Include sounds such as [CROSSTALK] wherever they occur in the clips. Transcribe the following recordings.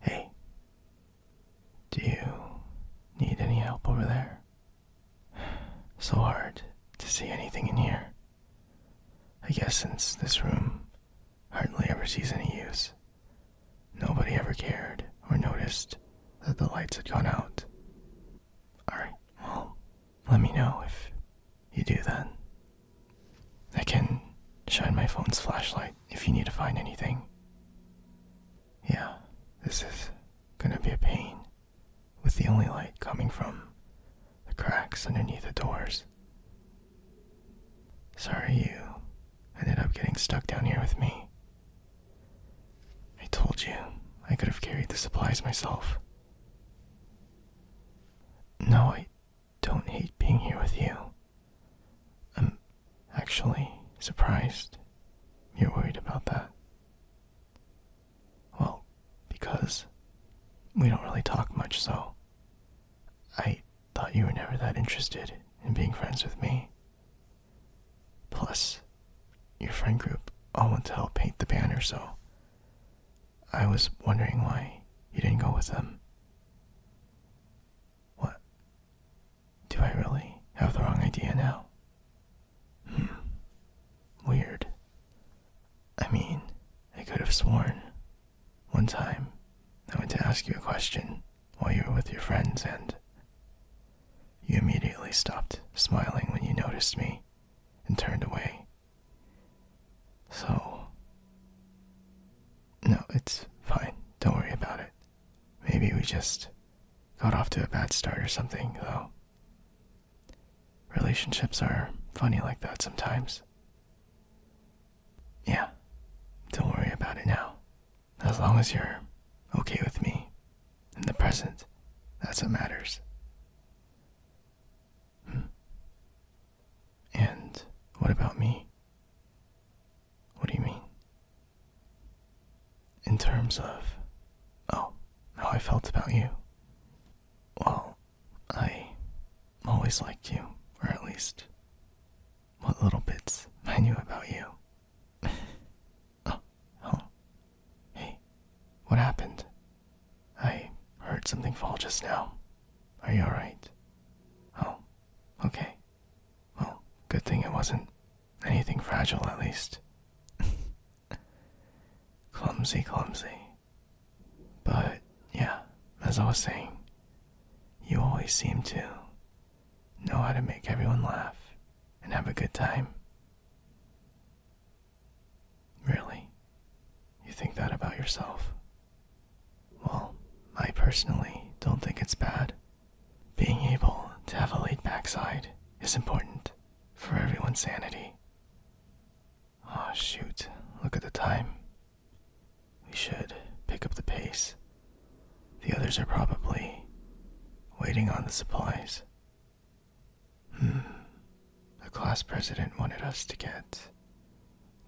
Hey, do you need any help over there? So hard to see anything in here. I guess since this room hardly ever sees any use, nobody ever cared or noticed that the lights had gone out. Alright, well, let me know if you do that. I can shine my phone's flashlight if you need to find anything. Yeah, this is gonna be a pain, with the only light coming from the cracks underneath the doors. Sorry you ended up getting stuck down here with me. I told you I could have carried the supplies myself. No, I don't hate being here with you. I'm actually surprised you're worried about that. Well, because we don't really talk much, so I thought you were never that interested in being friends with me. Plus, your friend group all want to help paint the banner, so I was wondering why you didn't go with them. What? Do I really have the wrong idea now? Hmm. Weird. I mean, I could have sworn. One time, I went to ask you a question while you were with your friends, and you immediately stopped smiling when you noticed me and turned away. So, no, it's fine. Don't worry about it. Maybe we just got off to a bad start or something, though. Relationships are funny like that sometimes. Yeah, don't worry about it now. As long as you're okay with me in the present, that's what matters. Hmm. And what about me? What do you mean? In terms of, oh, how I felt about you. Well, I always liked you, or at least what little bits I knew about you. [LAUGHS] oh, oh, Hey, what happened? I heard something fall just now. Are you alright? Oh, okay. Well, good thing it wasn't anything fragile, at least. [LAUGHS] clumsy, clumsy. But, yeah, as I was saying, you always seem to know how to make everyone laugh and have a good time. Really? You think that about yourself? Well, I personally don't think it's bad. Being able to have a laid backside is important for everyone's sanity. Oh, shoot. Look at the time. We should pick up the pace. The others are probably waiting on the supplies. Hmm. The class president wanted us to get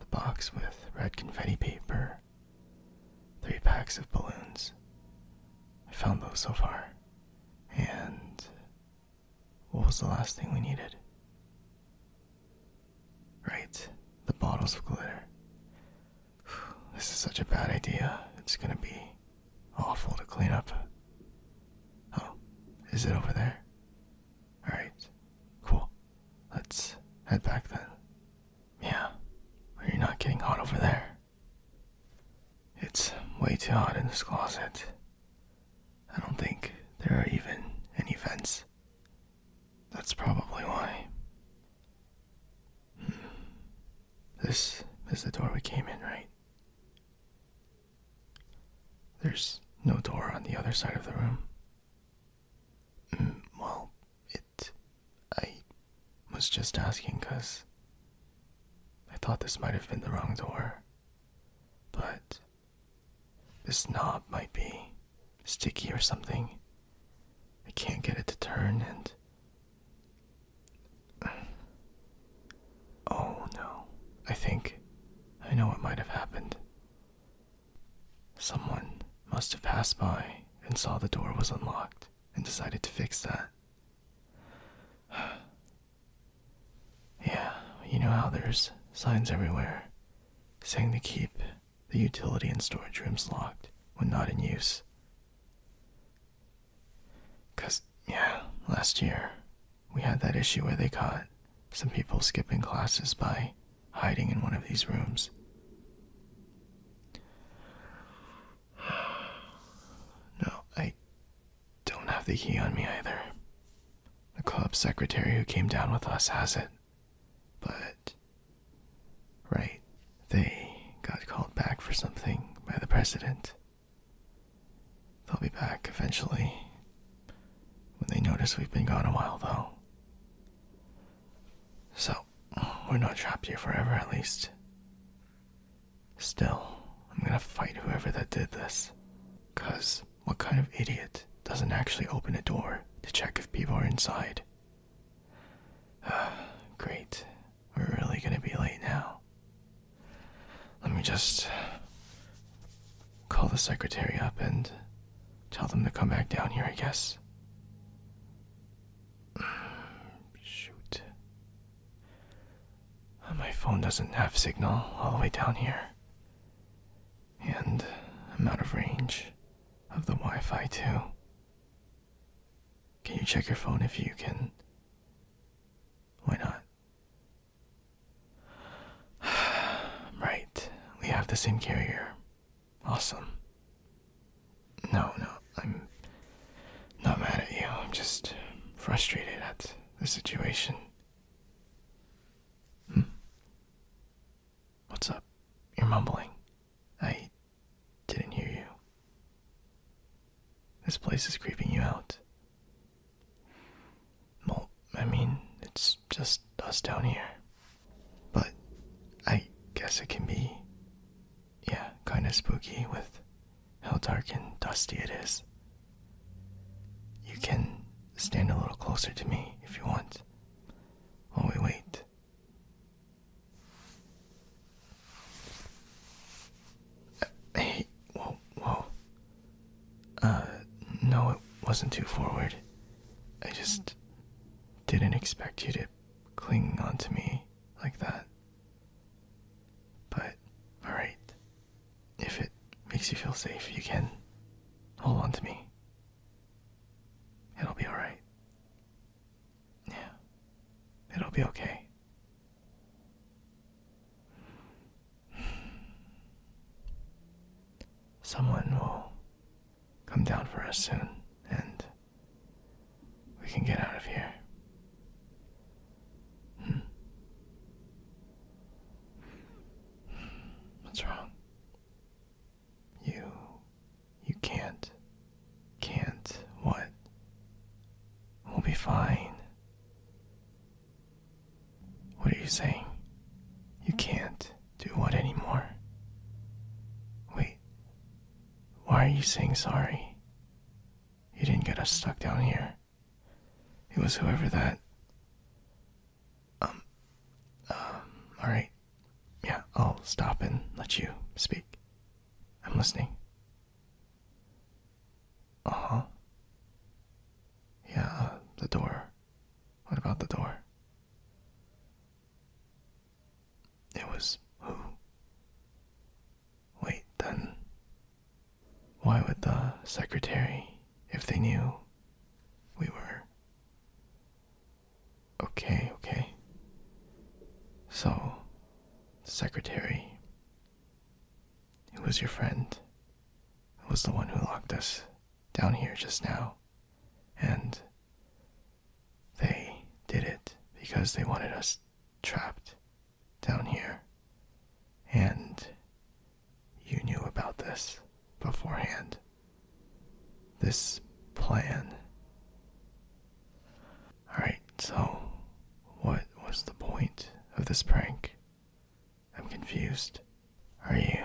the box with red confetti paper, three packs of balloons. I found those so far. And what was the last thing we needed? Right, the bottles of glitter. This is such a bad idea. It's gonna be Awful to clean up. Oh, is it over there? Alright, cool. Let's head back then. Yeah, you're not getting hot over there. It's way too hot in this closet. I don't think there are even any vents. That's probably why. Hmm. This is the door we came in, right? There's no door on the other side of the room. Mm, well, it. I was just asking because I thought this might have been the wrong door. But this knob might be sticky or something. I can't get it to turn, and [SIGHS] Oh no, I think I know what might have happened. Someone must have passed by and saw the door was unlocked and decided to fix that. [SIGHS] yeah, you know how there's signs everywhere saying to keep the utility and storage rooms locked when not in use. Because, yeah, last year we had that issue where they caught some people skipping classes by hiding in one of these rooms. [SIGHS] No, I don't have the key on me either. The club secretary who came down with us has it. But. Right, they got called back for something by the president. They'll be back eventually. When they notice we've been gone a while, though. So, we're not trapped here forever, at least. Still, I'm gonna fight whoever that did this. Cause, what kind of idiot doesn't actually open a door to check if people are inside? [SIGHS] Great. We're really gonna be late now. Let me just call the secretary up and tell them to come back down here, I guess. Shoot. My phone doesn't have signal all the way down here. And I'm out of range of the Wi Fi, too. Can you check your phone if you can why not? [SIGHS] right, we have the same carrier. Awesome. No, no, I'm not mad at you. I'm just frustrated at the situation. Hmm? What's up? You're mumbling. I didn't hear you. This place is creeping you out. Well, I mean, it's just us down here. But I guess it can be, yeah, kind of spooky with how dark and dusty it is. You can stand a little closer to me if you want while we wait hey, whoa, whoa. Uh, no, it wasn't too forward. I just didn't expect you to cling onto me like that. But, alright. If it makes you feel safe, you can hold on to me. It'll be alright. Yeah, it'll be okay. Someone will come down for us soon and we can get out of here. Hmm. What's wrong? You you can't. Can't what? We'll be fine. What are you saying? You can't do what anymore? Wait. Why are you saying sorry? You didn't get us stuck down here. It was whoever that. Um. Um. Alright. Yeah, I'll stop and let you speak. I'm listening. Uh-huh. Uh huh. Yeah, the door. What about the door? It was who? Wait, then. Why would the secretary, if they knew we were. Okay, okay. So, secretary, it was your friend, It was the one who locked us down here just now, and they did it because they wanted us trapped down here. And you knew about this beforehand this plan. Alright, so what was the point of this prank? I'm confused. Are you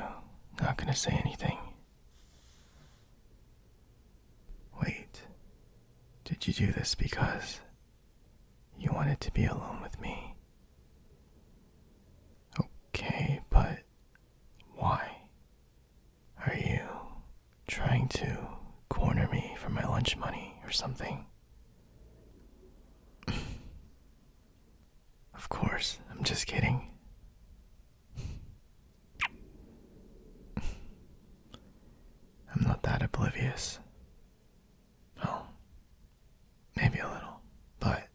not gonna say anything? Wait, did you do this because you wanted to be alone with me? Okay, but why? Are you trying to corner me for my lunch money or something? [LAUGHS] of course, I'm just kidding. [LAUGHS] I'm not that oblivious. Well, maybe a little, but